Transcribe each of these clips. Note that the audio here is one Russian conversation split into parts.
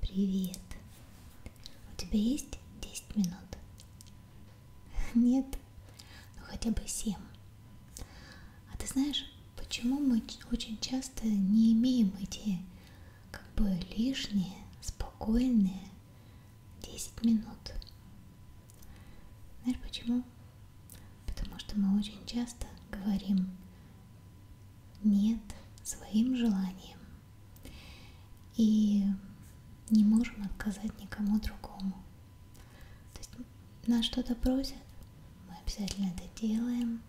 Привет. У тебя есть 10 минут? Нет, ну хотя бы 7. А ты знаешь, почему мы очень часто не имеем эти как бы лишние, спокойные 10 минут? Знаешь почему? Потому что мы очень часто говорим нет своим желанием и не можем отказать никому другому. То есть нас что-то просят, мы обязательно это делаем,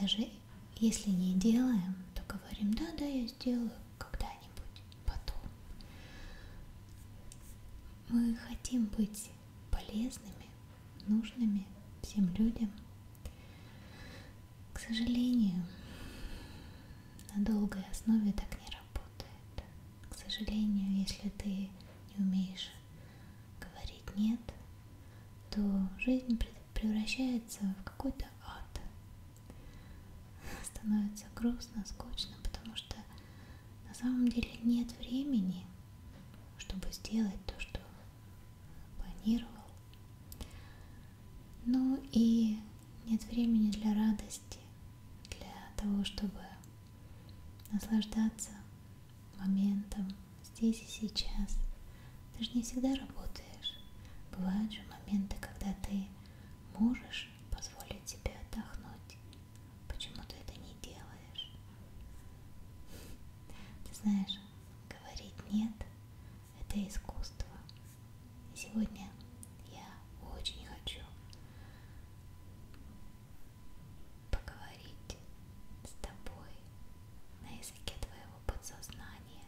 даже если не делаем, то говорим, да, да, я сделаю когда-нибудь, потом. Мы хотим быть полезными, нужными всем людям. К сожалению, на долгой основе так не работает. К сожалению, если ты не умеешь говорить нет, то жизнь превращается в какой-то ад. Становится грустно, скучно, потому что на самом деле нет времени, чтобы сделать то, что планировал. Ну и нет времени для радости, для того, чтобы наслаждаться моментом здесь и сейчас. Ты же не всегда работаешь. Бывают же моменты, когда ты можешь позволить себе отдохнуть. Почему ты это не делаешь? Ты знаешь, говорить нет это искусство. И сегодня я очень хочу поговорить с тобой на языке твоего подсознания.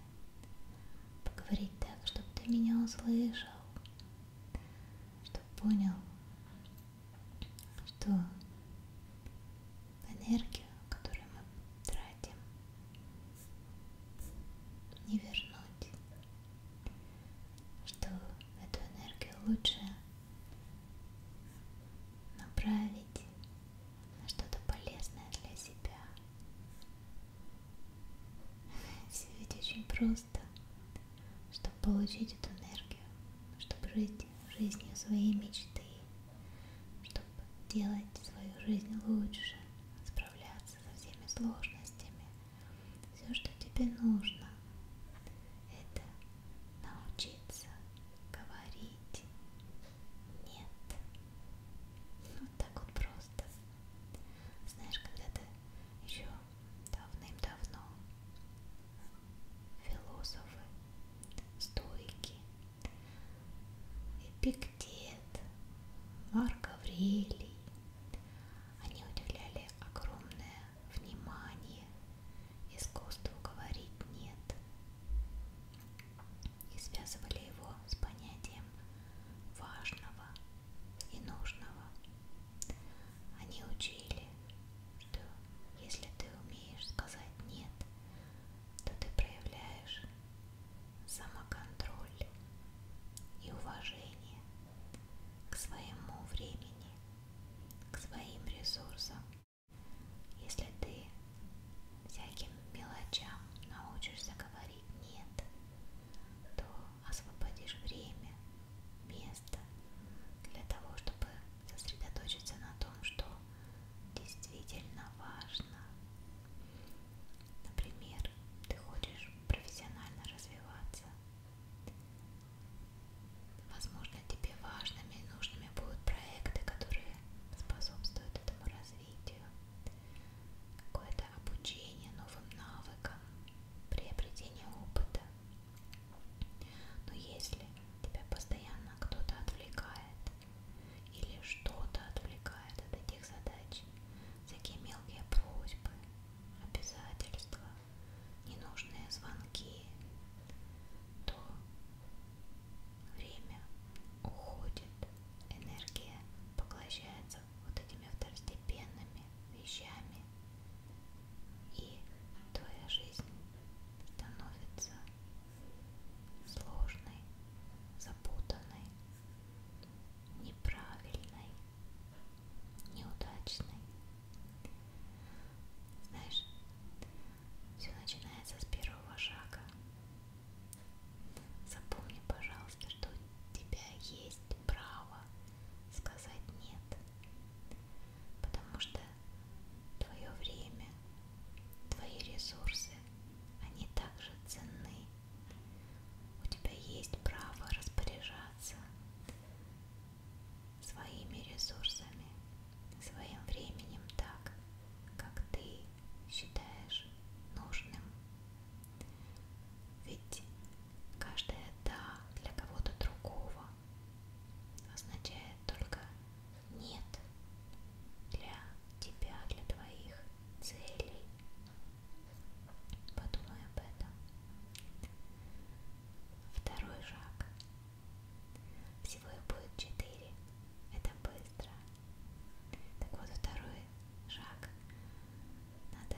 Поговорить так, чтобы ты меня услышал, чтобы понял, что энергию, которую мы тратим не вернуть, что эту энергию лучше направить на что-то полезное для себя. Все ведь очень просто, чтобы получить эту энергию, чтобы жить жизнью своей мечты, чтобы делать свою жизнь лучше, справляться со всеми сложностями. Все, что тебе нужно, это научиться говорить нет. Вот так вот просто. Знаешь, когда-то еще давным-давно философы, стойки Эпиктет, Марк Аврелий. Они уделяли огромное внимание искусству говорить «нет» и связывали его с понятием важного и нужного. Они учили, что если ты умеешь сказать «нет», то ты проявляешь самоконтроль и уважение к своему времени, к своим ресурсам. Если ты всяким мелочам научишься говорить «нет», то освободишь время, место для того, чтобы сосредоточиться на том, что действительно важно, Например, ты хочешь профессионально развиваться. Возможно, тебе важными и нужными будут проекты, которые способствуют этому развитию. Какое-то обучение новым навыкам, приобретение опыта. Но если тебя постоянно кто-то отвлекает, или что-то отвлекает от этих задач. Всякие мелкие просьбы, обязательства, ненужные звонки, то время уходит, энергия поглощается вот этими второстепенными вещами, и твоя жизнь становится сложной, запутанной, неправильной, неудачной. Знаешь, все начинается с первого шага. Запомни, пожалуйста, что у тебя есть право сказать нет. Потому что твое время, твои ресурсы, они также ценны, у тебя есть право распоряжаться своими ресурсами, своим временем так, как ты считаешь нужным. Ведь каждое «да» для кого-то другого означает только «нет» для тебя для твоих целей. Подумай об этом. Второй шаг. Всего их будет четыре. Это быстро. Так вот, второй шаг. Надо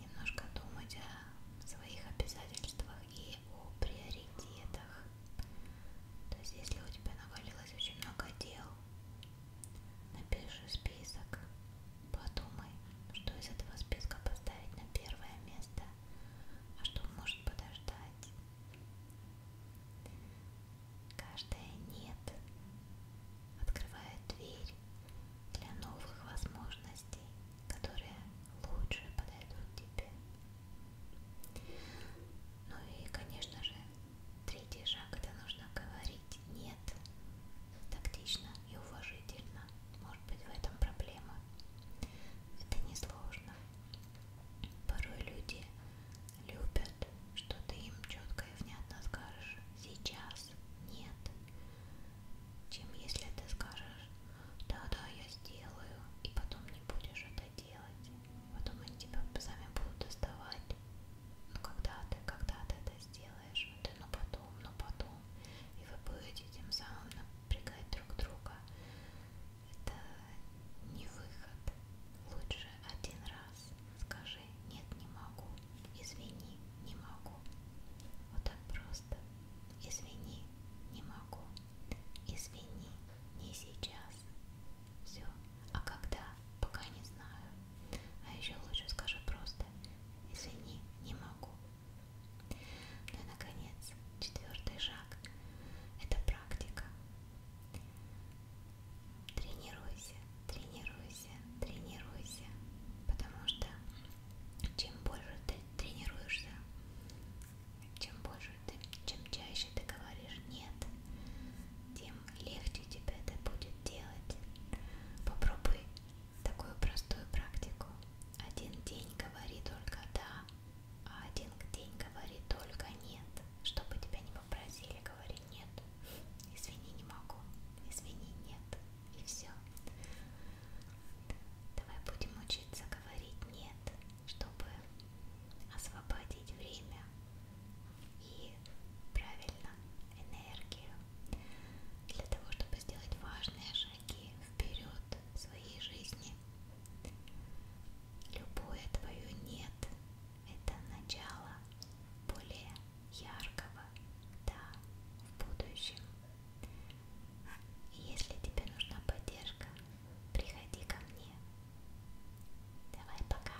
немножко думать о своих обязательствах и о приоритетах. То есть, если у тебя навалилось очень много дел, Напиши список. Подумай, что из этого списка поставить на первое место, а что может подождать. Каждое нет открывает дверь для новых возможностей, которые лучше подойдут тебе. Ну и, конечно же, Третий шаг – это нужно говорить «нет» тактично и уважительно. Может быть, в этом проблема. Это несложно. Порой люди любят, что ты им четко и внятно скажешь «сейчас», «нет», чем если ты скажешь «да-да, я сделаю», и потом не будешь это делать. Потом они тебя сами будут доставать, ну когда ты, когда ты это сделаешь, вот, ну потом, ну потом. И вы будете тем самым напрягать друг друга. Это не выход. Лучше один раз скажи «нет, не могу», «извини, не могу». Вот так просто. «Извини, не могу», «извини, не сейчас». Все. А когда пока не знаю. А еще лучше скажи просто «Извини, не могу». Ну и, наконец, четвертый шаг – это практика. Тренируйся, тренируйся, тренируйся, потому что чем больше ты тренируешься, чем больше ты, чем чаще ты говоришь нет, тем тем легче тебе это будет делать. Попробуй такую простую практику. Один день говори только да, а один день говори только нет. Чтобы тебя не попросили, говори нет. Извини, не могу. Извини, нет. И все. Давай будем учиться говорить нет, чтобы освободить время и правильно энергию для того, чтобы сделать важные шаги вперед в своей жизни. Любое твое нет – это начало более яркого да в будущем. Если тебе нужна поддержка, приходи ко мне. Давай пока.